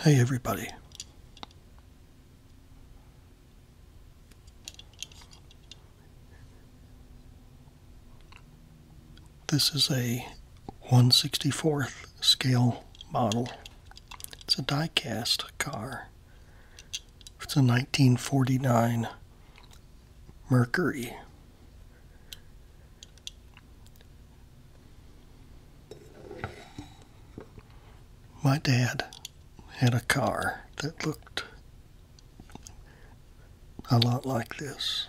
Hey, everybody. This is a 164th scale model. It's a diecast car. It's a 1949 Mercury. My dad had a car that looked a lot like this.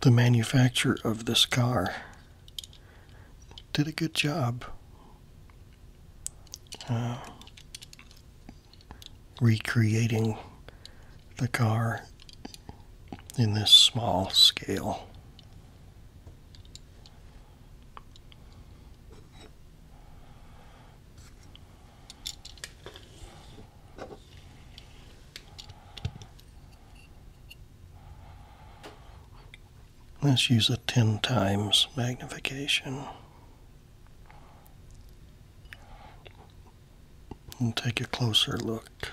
The manufacturer of this car did a good job uh, recreating the car in this small scale. Let's use a 10 times magnification. And take a closer look.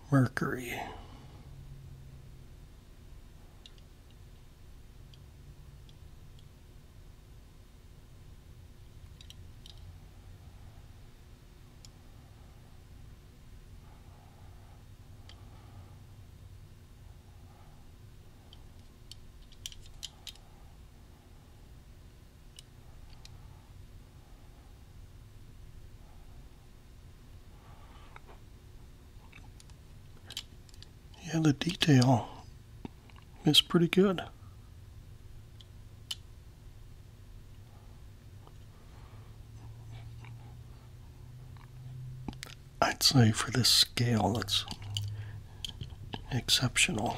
Mercury. Yeah, the detail is pretty good. I'd say for this scale, it's exceptional.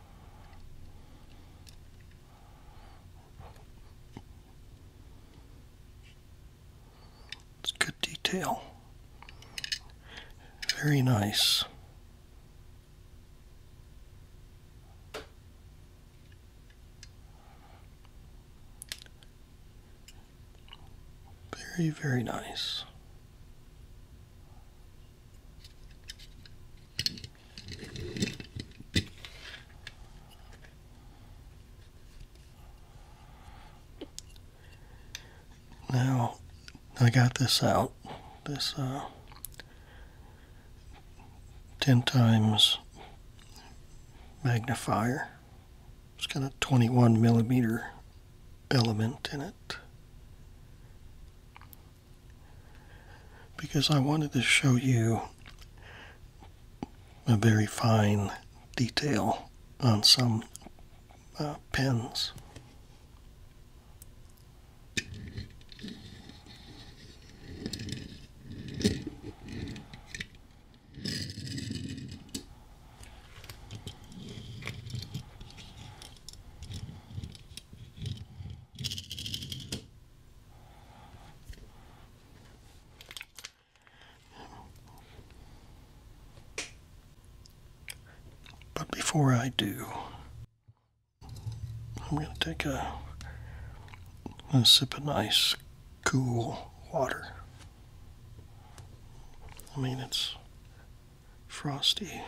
It's good detail. Very nice. Very, very nice. Now, I got this out, this uh, 10 times magnifier. It's got a 21 millimeter element in it because I wanted to show you a very fine detail on some uh, pens. But before I do, I'm going to take a, a sip of nice, cool water. I mean, it's frosty.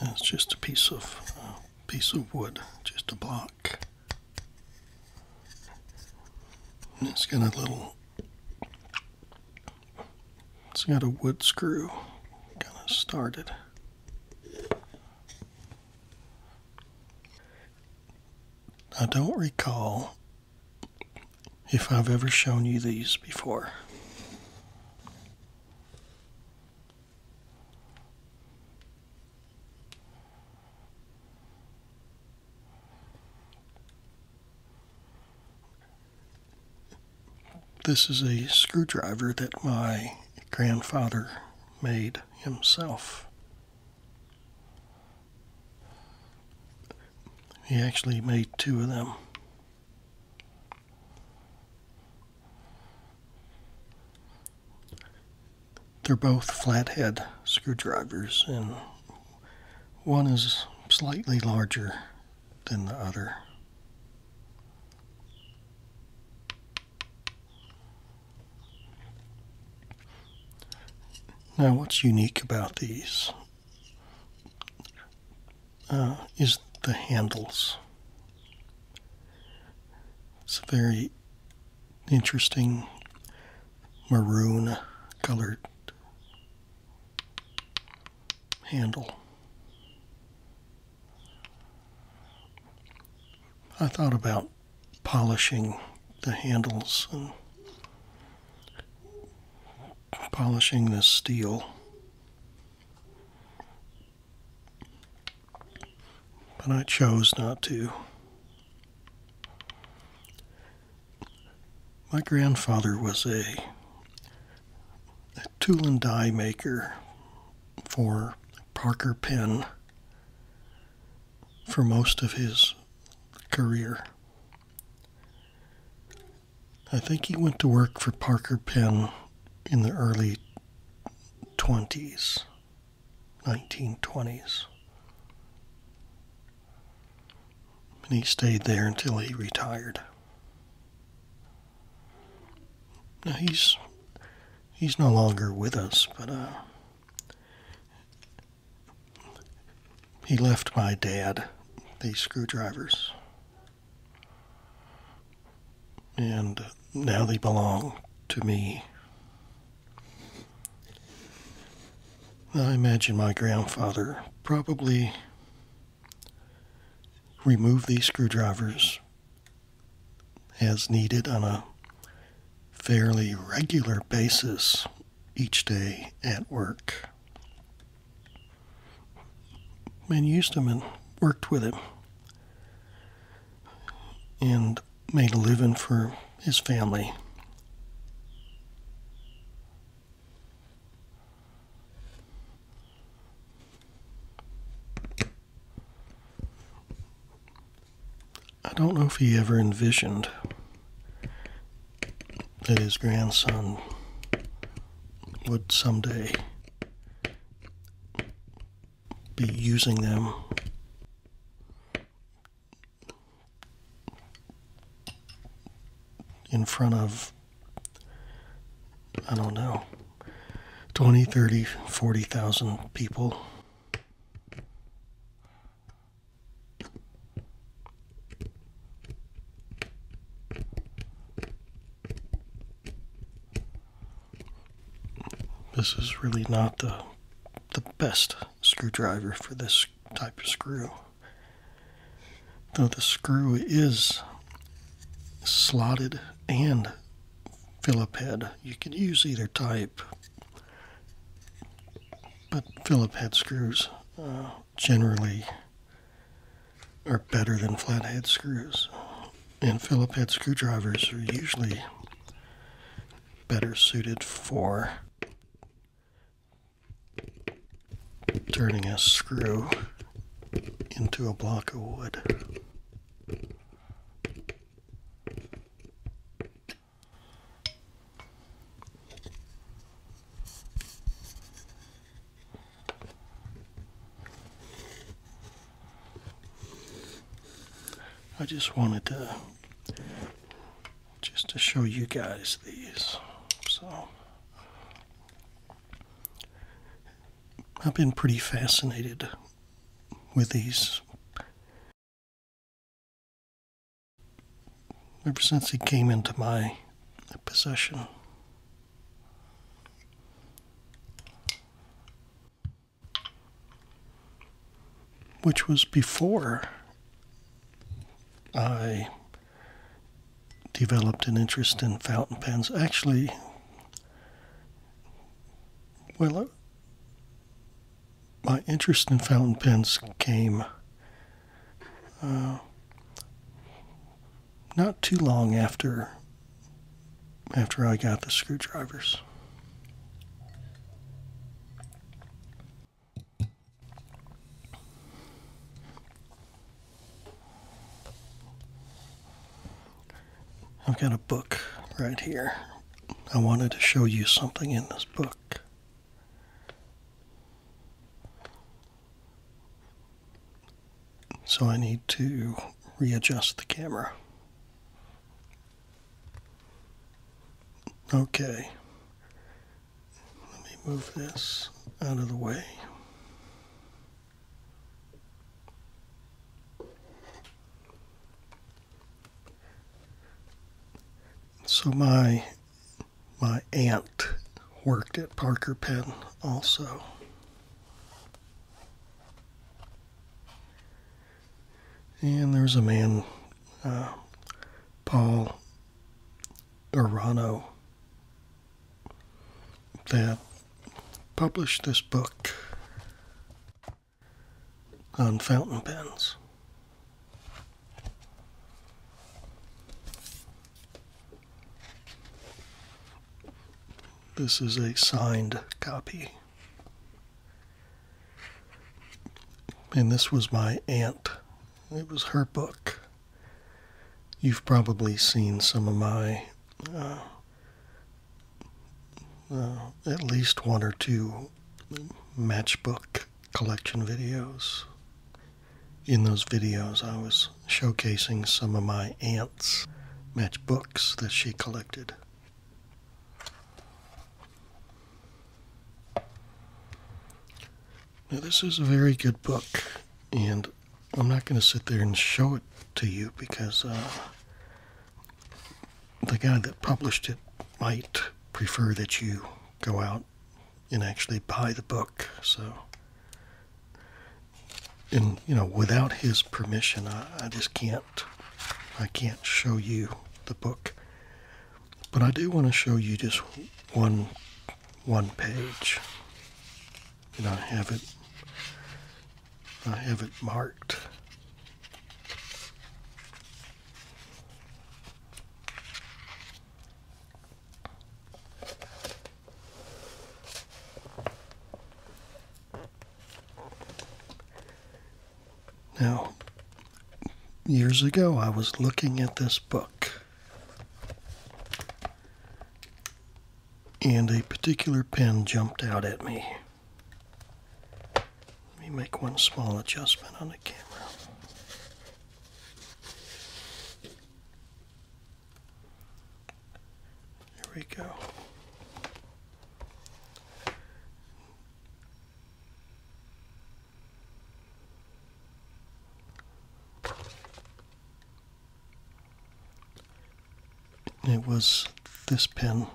That's just a piece of uh, piece of wood, just a block it's got a little, it's got a wood screw kind of started. I don't recall if I've ever shown you these before. This is a screwdriver that my grandfather made himself. He actually made two of them. They're both flathead screwdrivers, and one is slightly larger than the other. Now, what's unique about these uh, is the handles. It's a very interesting maroon colored handle. I thought about polishing the handles and polishing this steel. But I chose not to. My grandfather was a, tool and die maker for Parker Pen for most of his career. I think he went to work for Parker Pen in the early 20s. 1920s. And he stayed there until he retired. Now he's he's no longer with us, but uh, he left my dad these screwdrivers, and now they belong to me. I imagine my grandfather probably removed these screwdrivers as needed on a fairly regular basis each day at work. And used them and worked with them. And made a living for his family. I don't know if he ever envisioned that his grandson would someday be using them in front of, I don't know, 20, 30, 40,000 people. This is really not the the best screwdriver for this type of screw. Though the screw is slotted and Phillip head. You can use either type, but Phillip head screws uh, generally are better than flathead screws. And Phillip head screwdrivers are usually better suited for turning a screw into a block of wood. I just wanted to just to show you guys these. So I've been pretty fascinated with these ever since he came into my possession which was before I developed an interest in fountain pens. Actually, well, uh, my interest in fountain pens came uh, not too long after after I got the screwdrivers. I've got a book right here. I wanted to show you something in this book. So I need to readjust the camera. Okay. Let me move this out of the way. So my my aunt worked at Parker Pen also. And there's a man, uh, Paul Urano, that published this book on fountain pens. This is a signed copy. And this was my aunt. It was her book. You've probably seen some of my, uh, uh, at least one or two matchbook collection videos. In those videos, I was showcasing some of my aunt's matchbooks that she collected. Now, this is a very good book, and I'm not going to sit there and show it to you because uh, the guy that published it might prefer that you go out and actually buy the book. So, and you know, without his permission, I just can't. I can't show you the book. But I do want to show you just one one page. And I have it I have it marked. Now, years ago, I was looking at this book, and a particular pen jumped out at me. Let me make one small adjustment on the camera. There we go. It was this pen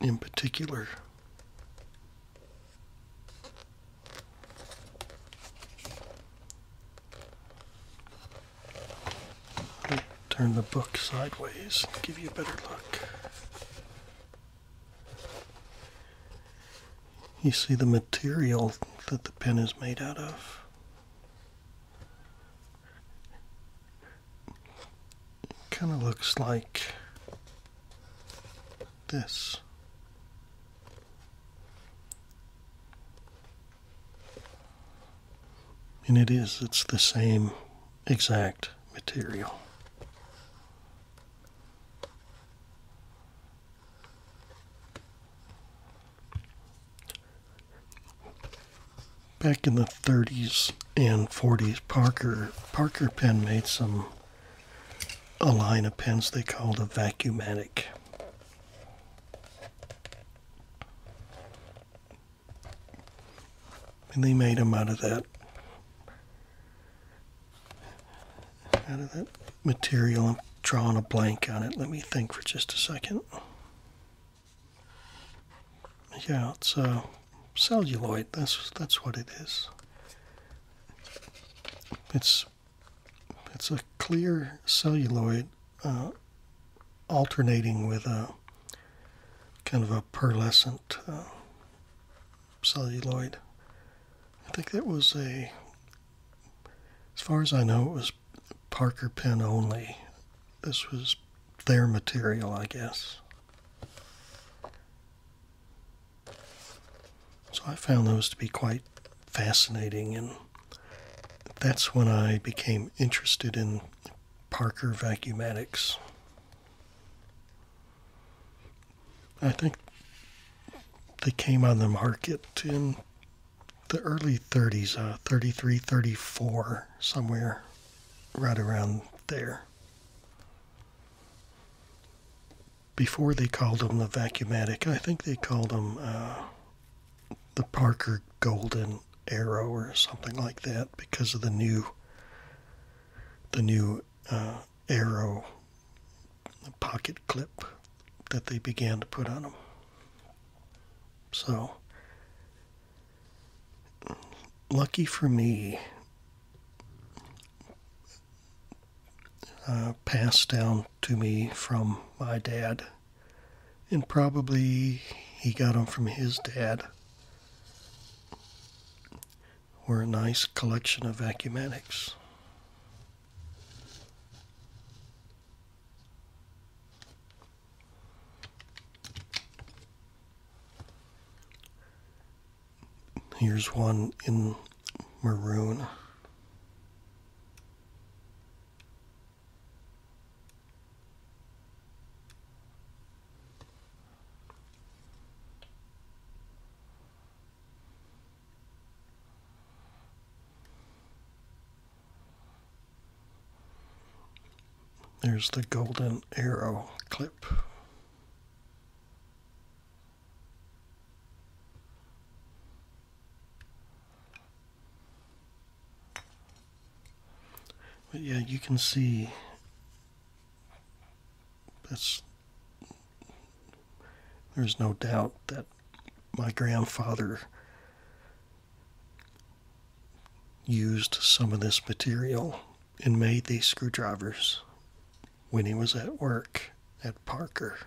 in particular. Turn the book sideways, give you a better look. You see the material that the pen is made out of. kind of looks like this. And it is, it's the same exact material back in the 30s and 40s, Parker Parker Pen made some a line of pens they called a vacuumatic. And they made them out of that out of that material. I'm drawing a blank on it. Let me think for just a second. Yeah, it's a uh, celluloid. That's that's what it is. It's it's a clear celluloid uh, alternating with a kind of a pearlescent celluloid. Uh, I think that was a, as far as I know, it was Parker pen only. This was their material, I guess. So I found those to be quite fascinating, and that's when I became interested in Parker vacuumatics. I think they came on the market in the early 30s, uh, 33, 34, somewhere right around there. Before they called them the Vacuumatic, I think they called them uh, the Parker Golden Arrow or something like that because of the new the new uh, arrow pocket clip that they began to put on them. So, lucky for me, uh, passed down to me from my dad, and probably he got them from his dad were a nice collection of ecumenics. Here's one in maroon. There's the golden arrow clip. But yeah, you can see that's there's no doubt that my grandfather used some of this material and made these screwdrivers when he was at work at Parker.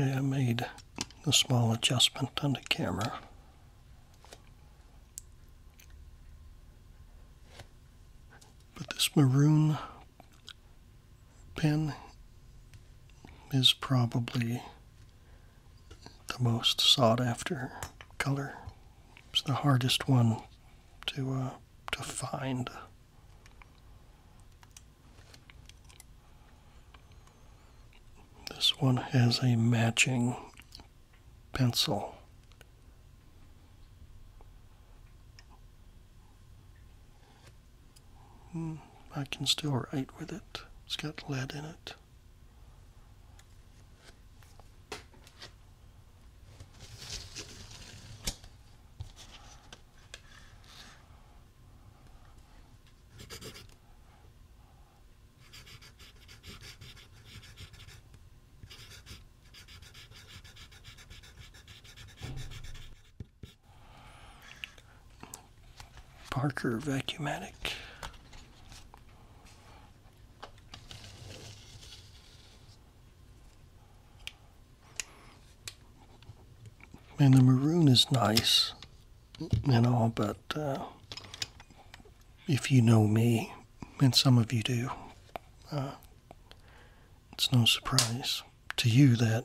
Okay, I made a small adjustment on the camera. But this maroon pen is probably the most sought after color. It's the hardest one to uh, to find. This one has a matching pencil. Hmm, I can still write with it. It's got lead in it. Parker Vacuumatic. And the maroon is nice you know, but uh, if you know me, and some of you do, uh, it's no surprise to you that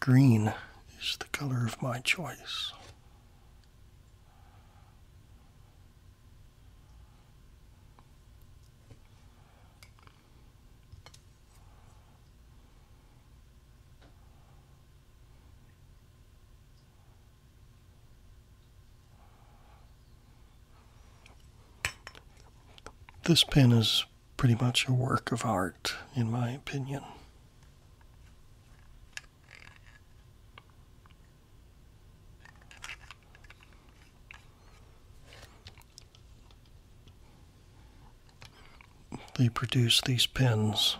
green is the color of my choice. This pen is pretty much a work of art, in my opinion. They produce these pens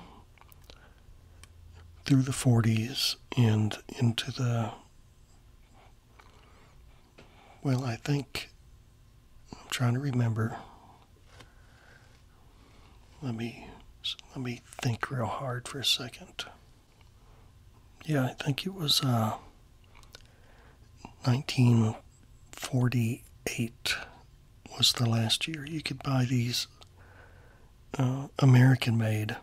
through the 40s and into the, well, I think, I'm trying to remember. Let me, let me think real hard for a second. Yeah, I think it was 1948 uh, was the last year you could buy these uh, American made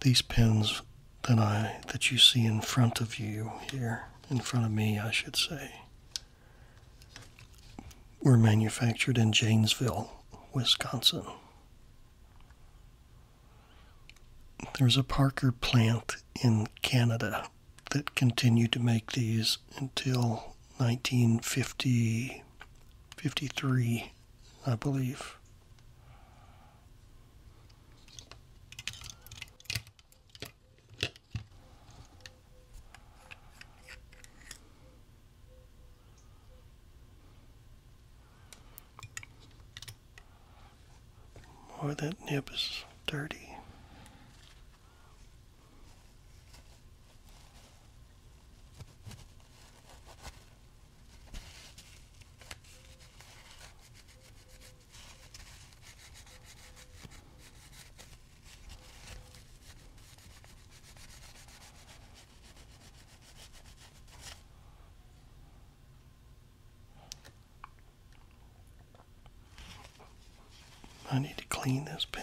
these pens that I that you see in front of you here in front of me I should say were manufactured in Janesville, Wisconsin. There's a Parker plant in Canada that continued to make these until 1950, 53, I believe. Boy, that nib is dirty. I need to clean this pen.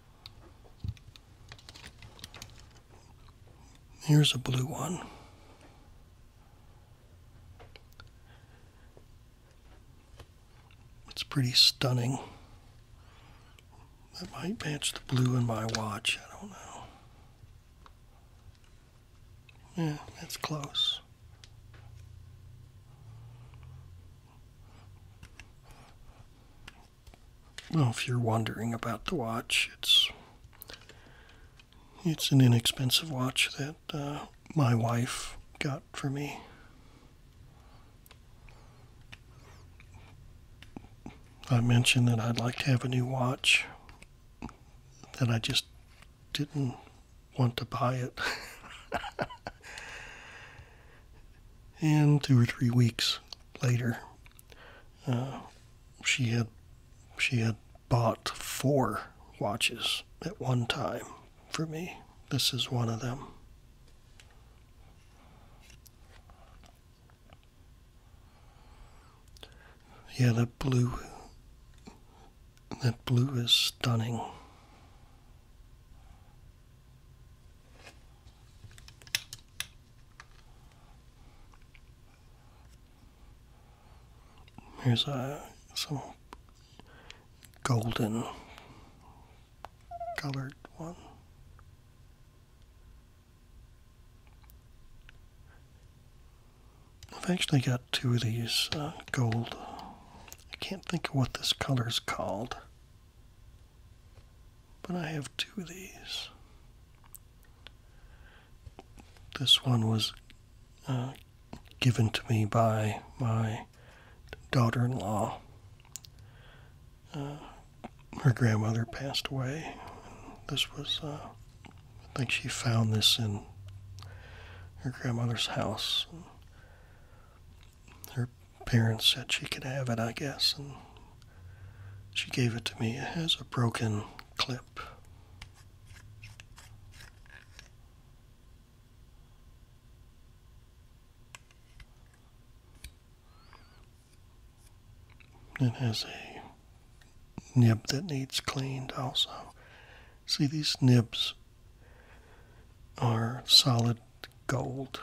Here's a blue one. It's pretty stunning. That might match the blue in my watch. I don't know. Yeah, that's close well, if you're wondering about the watch, it's it's an inexpensive watch that uh, my wife got for me. I mentioned that I'd like to have a new watch, that I just didn't want to buy it. and two or three weeks later, uh, she had she had bought four watches at one time for me. This is one of them. Yeah, that blue that blue is stunning. Here's uh, some golden colored one. I've actually got two of these uh, gold. I can't think of what this color is called. But I have two of these. This one was uh, given to me by my daughter in law. Uh, her grandmother passed away. This was, uh, I think she found this in her grandmother's house parents said she could have it, I guess, and she gave it to me. It has a broken clip. It has a nib that needs cleaned also. See, these nibs are solid gold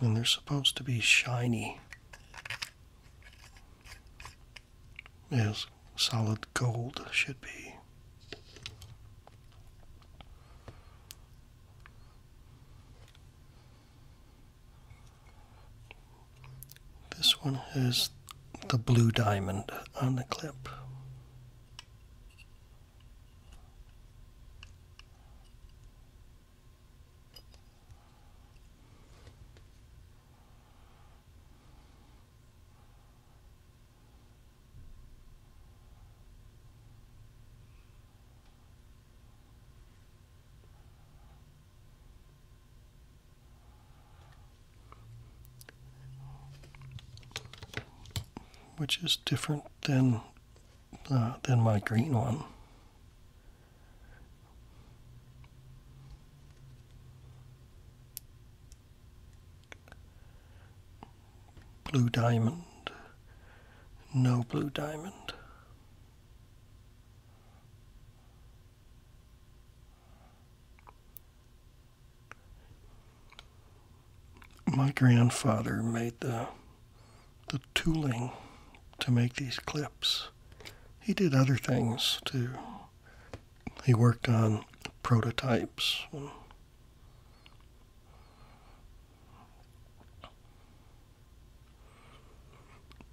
and they're supposed to be shiny as solid gold should be. This one has the blue diamond on the clip which is different than uh, than my green one. Blue diamond, no blue diamond. My grandfather made the the tooling to make these clips. He did other things too. He worked on prototypes.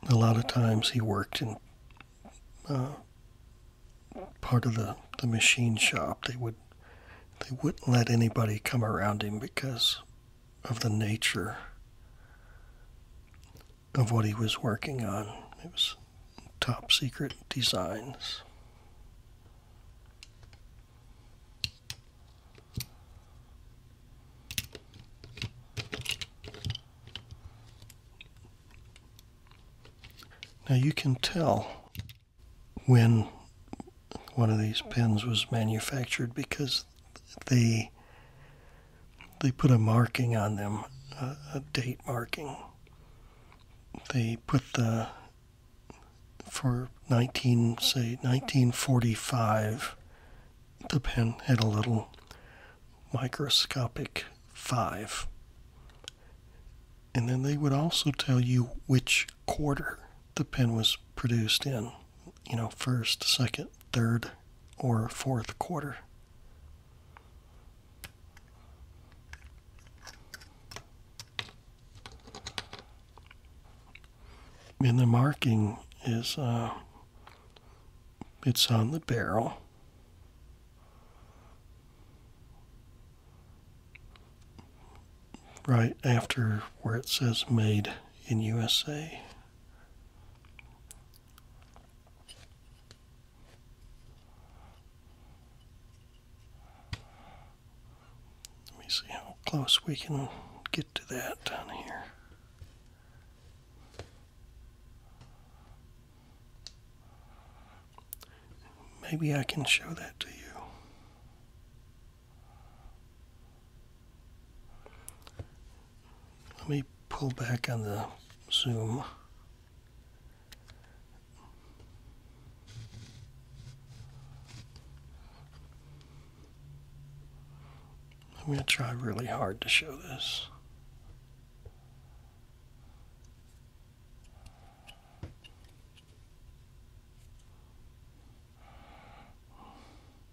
A lot of times he worked in uh, part of the, the machine shop. They would they wouldn't let anybody come around him because of the nature of what he was working on. It was top secret designs. Now you can tell when one of these pens was manufactured because they they put a marking on them, a, date marking. They put the for 19 say 1945 the pen had a little microscopic 5 and then they would also tell you which quarter the pen was produced in you know, first, second, third, or fourth quarter. And the marking is uh, it's on the barrel. Right after where it says made in USA. Let me see how close we can get to that down here. Maybe I can show that to you. Let me pull back on the zoom. I'm going to try really hard to show this.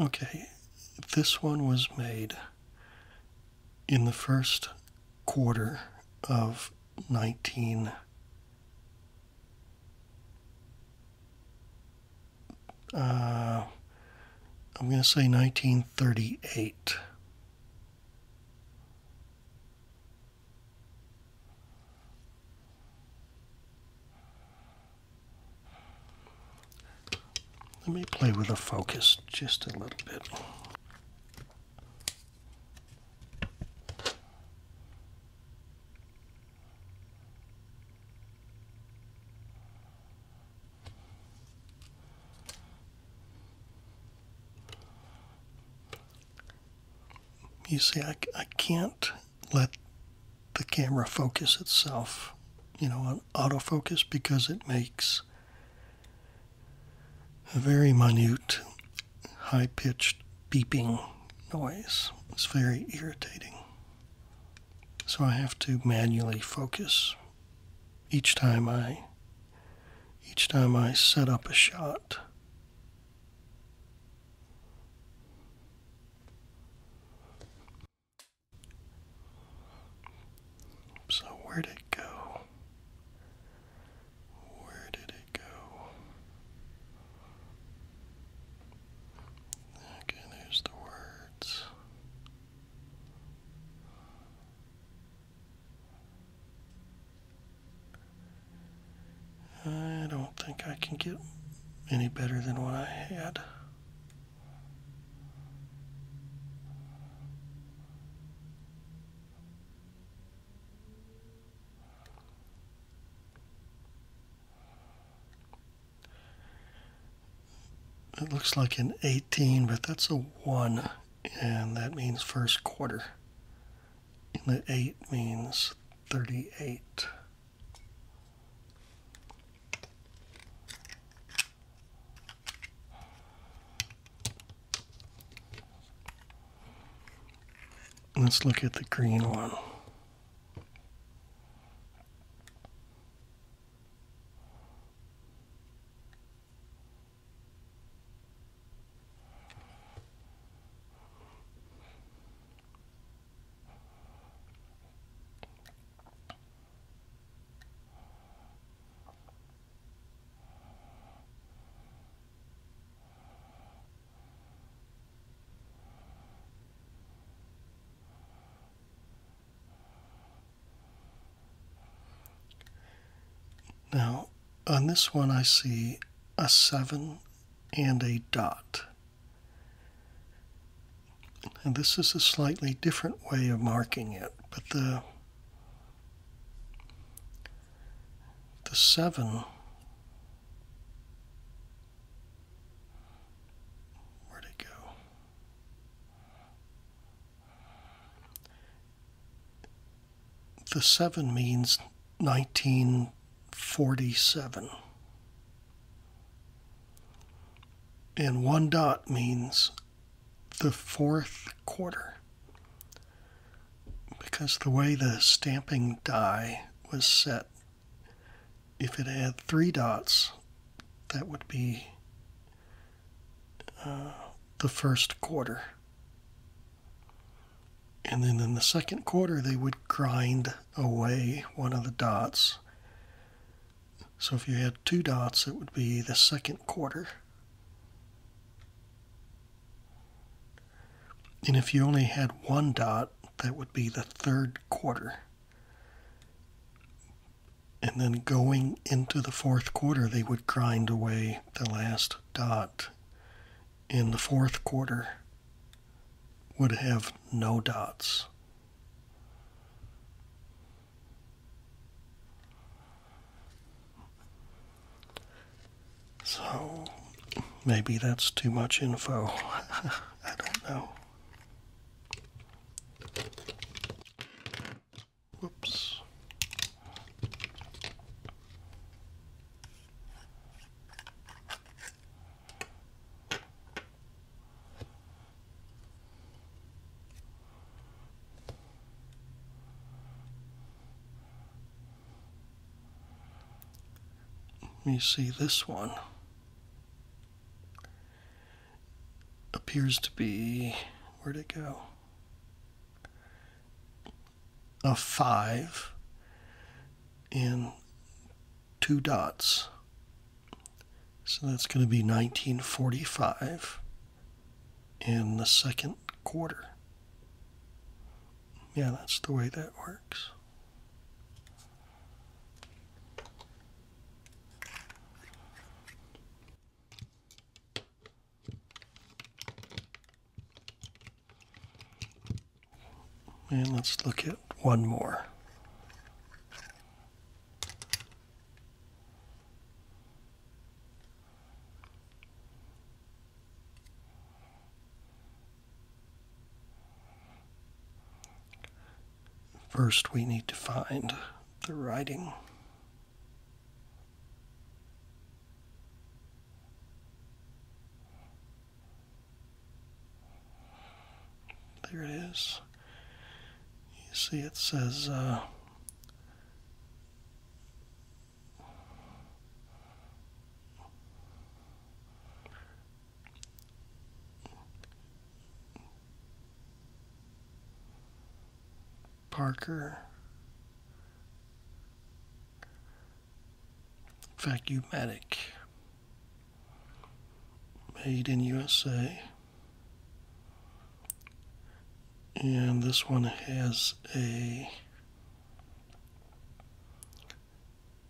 Okay, this one was made in the first quarter of 19 uh, I'm going to say 1938. Let me play with the focus just a little bit. You see, I, I can't let the camera focus itself, you know, on autofocus because it makes a very minute, high pitched beeping noise. It's very irritating. So I have to manually focus each time I each time I set up a shot. So, where did it go? Where did it go? Okay, there's the words. I don't think I can get any better than what I had. It looks like an 18, but that's a 1, and that means first quarter. And the 8 means 38. Let's look at the green one. Now, on this one, I see a 7 and a dot. And this is a slightly different way of marking it, but the the seven. Where'd it go? The seven means nineteen forty seven. And one dot means the fourth quarter because the way the stamping die was set, if it had three dots, that would be uh, the first quarter. And then in the second quarter, they would grind away one of the dots so if you had two dots, it would be the second quarter. And if you only had one dot, that would be the third quarter. And then going into the fourth quarter, they would grind away the last dot. And the fourth quarter would have no dots. So maybe that's too much info. I don't know. Whoops. Let me see, this one appears to be, where'd it go? A five in two dots. So that's going to be 1945 in the second quarter. Yeah, that's the way that works. And let's look at one more. First, we need to find the writing. There it is. You see, it says uh, Parker. Vacuumatic. Made in USA. And this one has a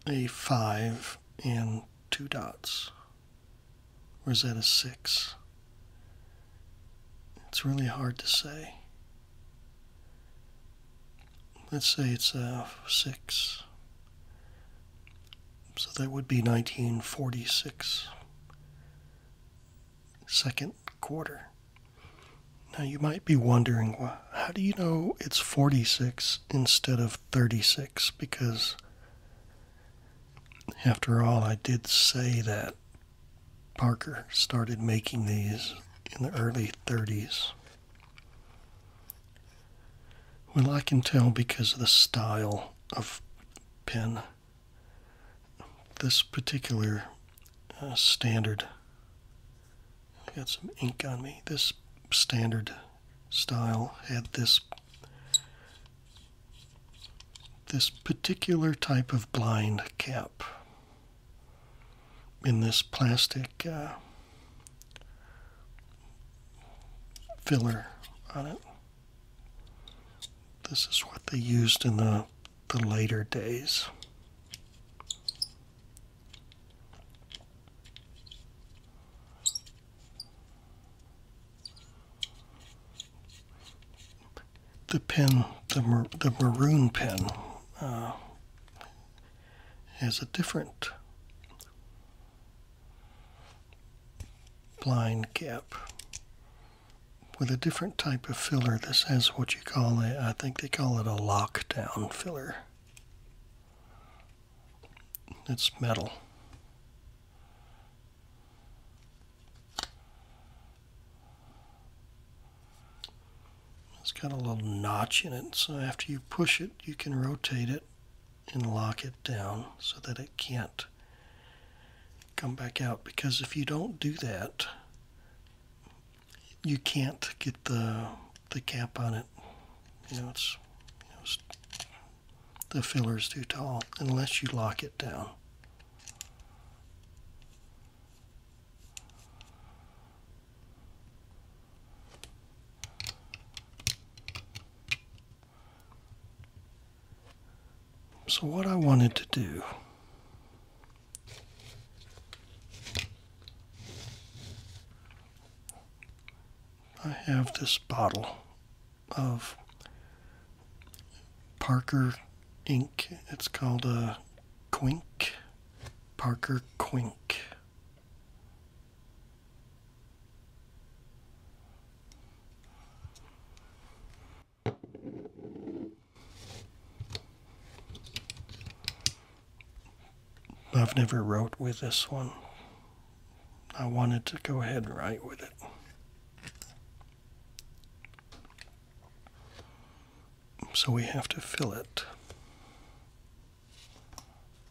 a five and two dots. Or that a six? It's really hard to say. Let's say it's a six. So that would be 1946, second quarter. Now you might be wondering, well, how do you know it's 46 instead of 36? Because after all, I did say that Parker started making these in the early 30s. Well, I can tell because of the style of pen. This particular uh, standard, got some ink on me. This standard style had this this particular type of blind cap in this plastic uh, filler on it. This is what they used in the, the later days. The pen, the, the maroon pen, uh, has a different blind cap with a different type of filler. This has what you call it—I think they call it a lockdown filler. It's metal. It's got a little notch in it, so after you push it, you can rotate it and lock it down so that it can't come back out because if you don't do that you can't get the the cap on it you know it's, the filler's too tall unless you lock it down so, what I wanted to do I have this bottle of Parker ink. It's called a Quink. Parker Quink. I've never wrote with this one. I wanted to go ahead and write with it. So we have to fill it.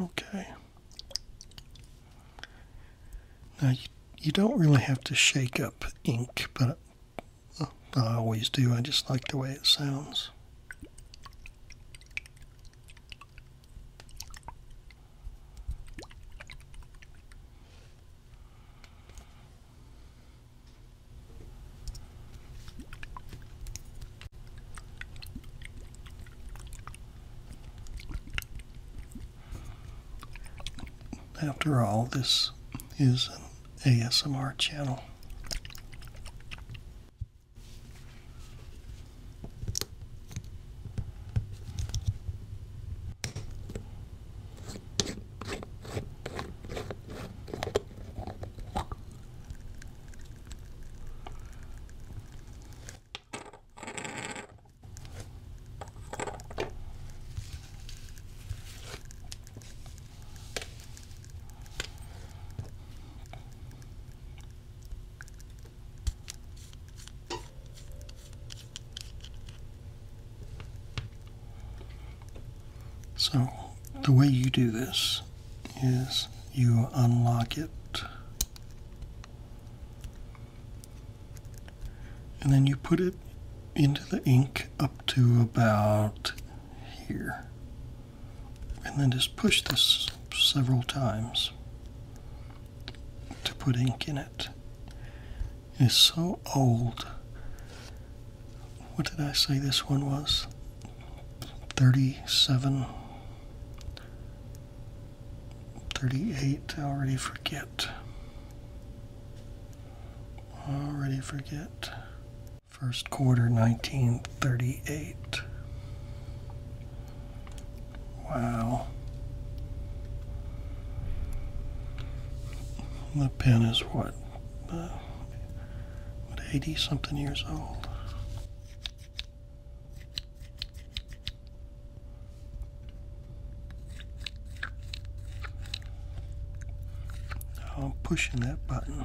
Okay. Now you, you don't really have to shake up ink, but uh, I always do. I just like the way it sounds. After all, this is an ASMR channel. So, the way you do this is you unlock it. And then you put it into the ink up to about here. And then just push this several times to put ink in it. It's so old what did I say this one was? 37, 38. I already forget. Already forget. First quarter 1938. Wow. The pen is what? Uh, what, 80 something years old. Oh, I'm pushing that button.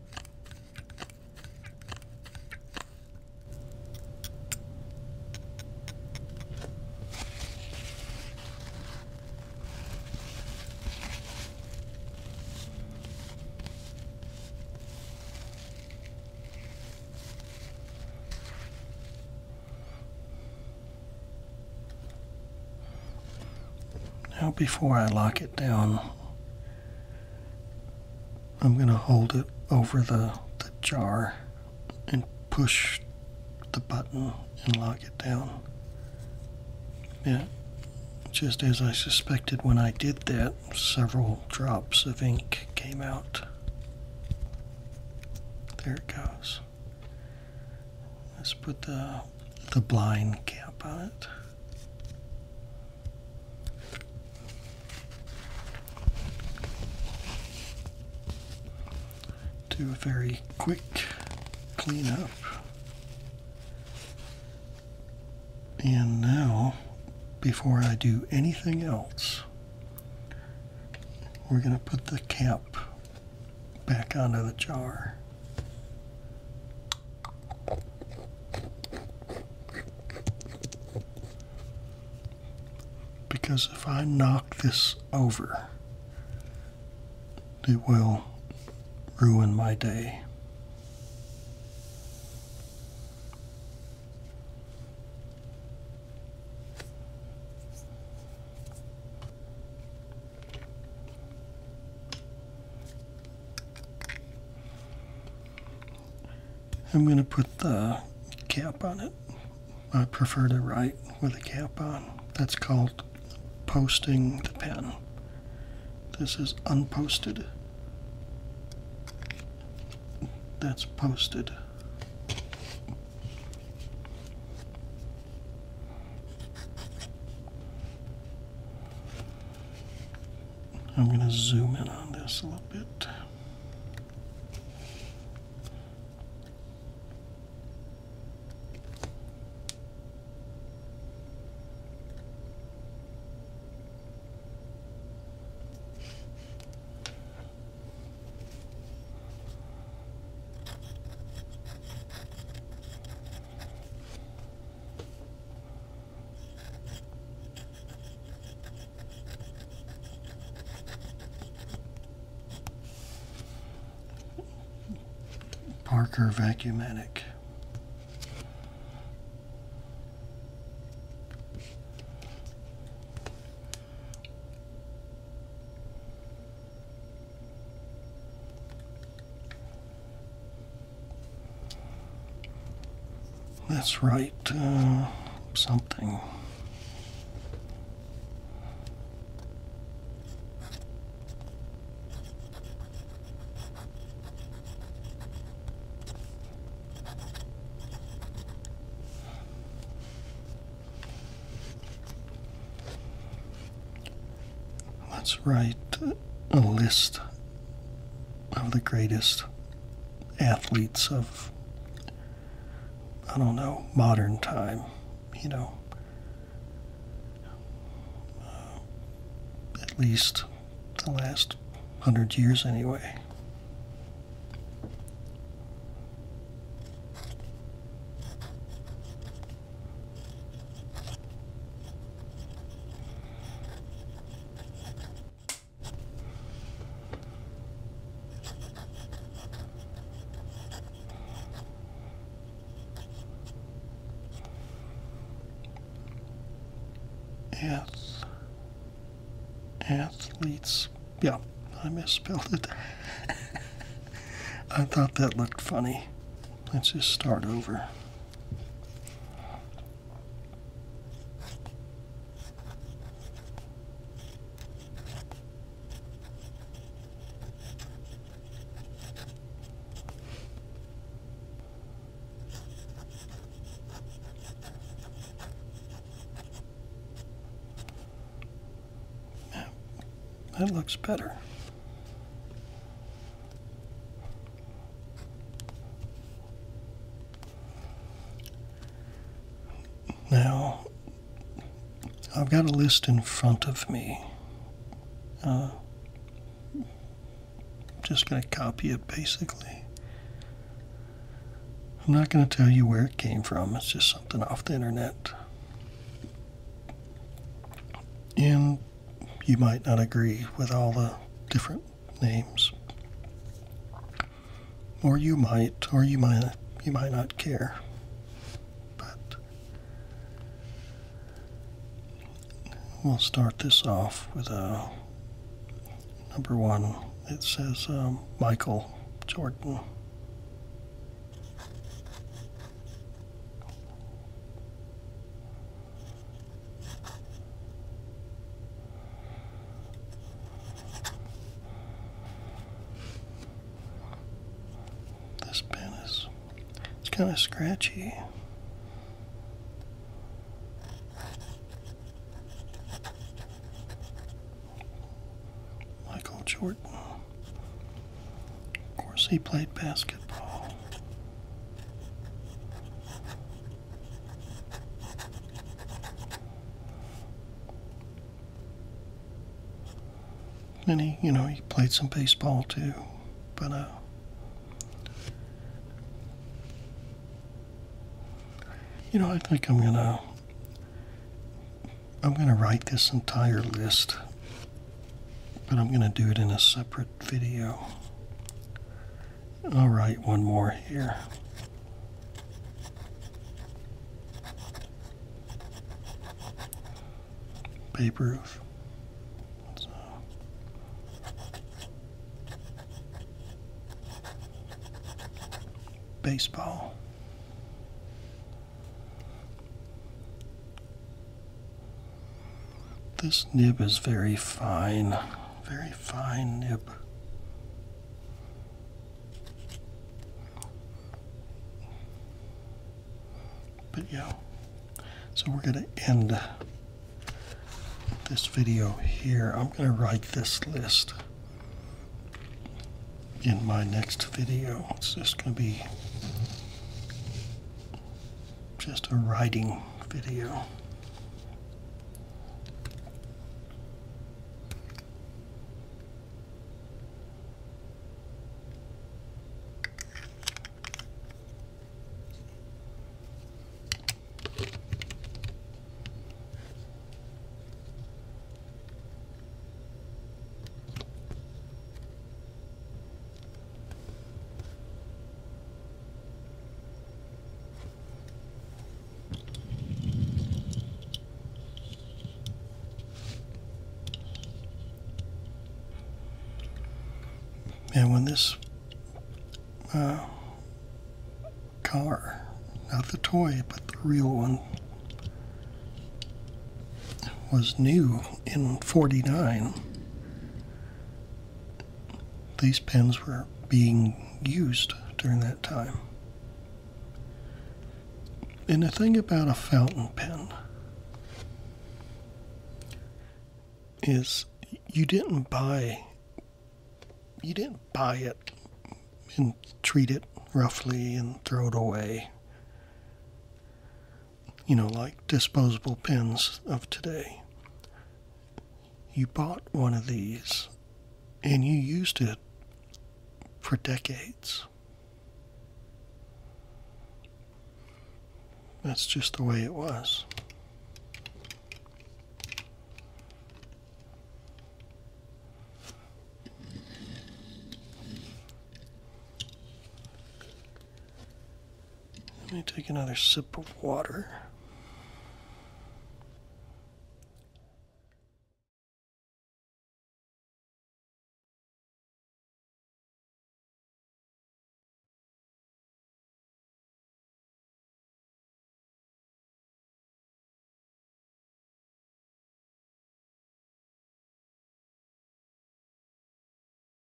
Now, before I lock it down, I'm going to hold it over the, jar and push the button and lock it down. Yeah, just as I suspected when I did that, several drops of ink came out. There it goes. Let's put the, the blind cap on it. Do a very quick clean up, And now, before I do anything else, we're going to put the cap back onto the jar. Because if I knock this over, it will ruin my day. I'm going to put the cap on it. I prefer to write with a cap on. That's called posting the pen. This is unposted. That's posted. I'm going to zoom in on this a little bit. Parker Vacuumatic. Let's write uh, something let's write a list of the greatest athletes of, I don't know, modern time, you know, uh, at least the last hundred years anyway. Ath athletes. Yeah, I misspelled it. I thought that looked funny. Let's just start over. That looks better. Now, I've got a list in front of me. Uh, I'm just going to copy it basically. I'm not going to tell you where it came from, it's just something off the internet. And you might not agree with all the different names. Or you might, or you might you might not care. But we'll start this off with a uh, number one. It says um, Michael Jordan. This pen is it's kind of scratchy. Michael Jordan. Of course, he played basketball. And he, you know, he played some baseball too, but uh, you know, I think I'm gonna, I'm gonna write this entire list, but I'm gonna do it in a separate short video. All right, one more here. Babe Ruth. Baseball. This nib is very fine, very fine nib. But yeah, so we're going to end this video here. I'm going to write this list in my next video. It's just going to be just a writing video. And when this uh, car, not the toy, but the real one, was new in 49, these pens were being used during that time. And the thing about a fountain pen is you didn't buy you didn't buy it and treat it roughly and throw it away you know, like disposable pens of today. You bought one of these and you used it for decades. That's just the way it was. Let me take another sip of water.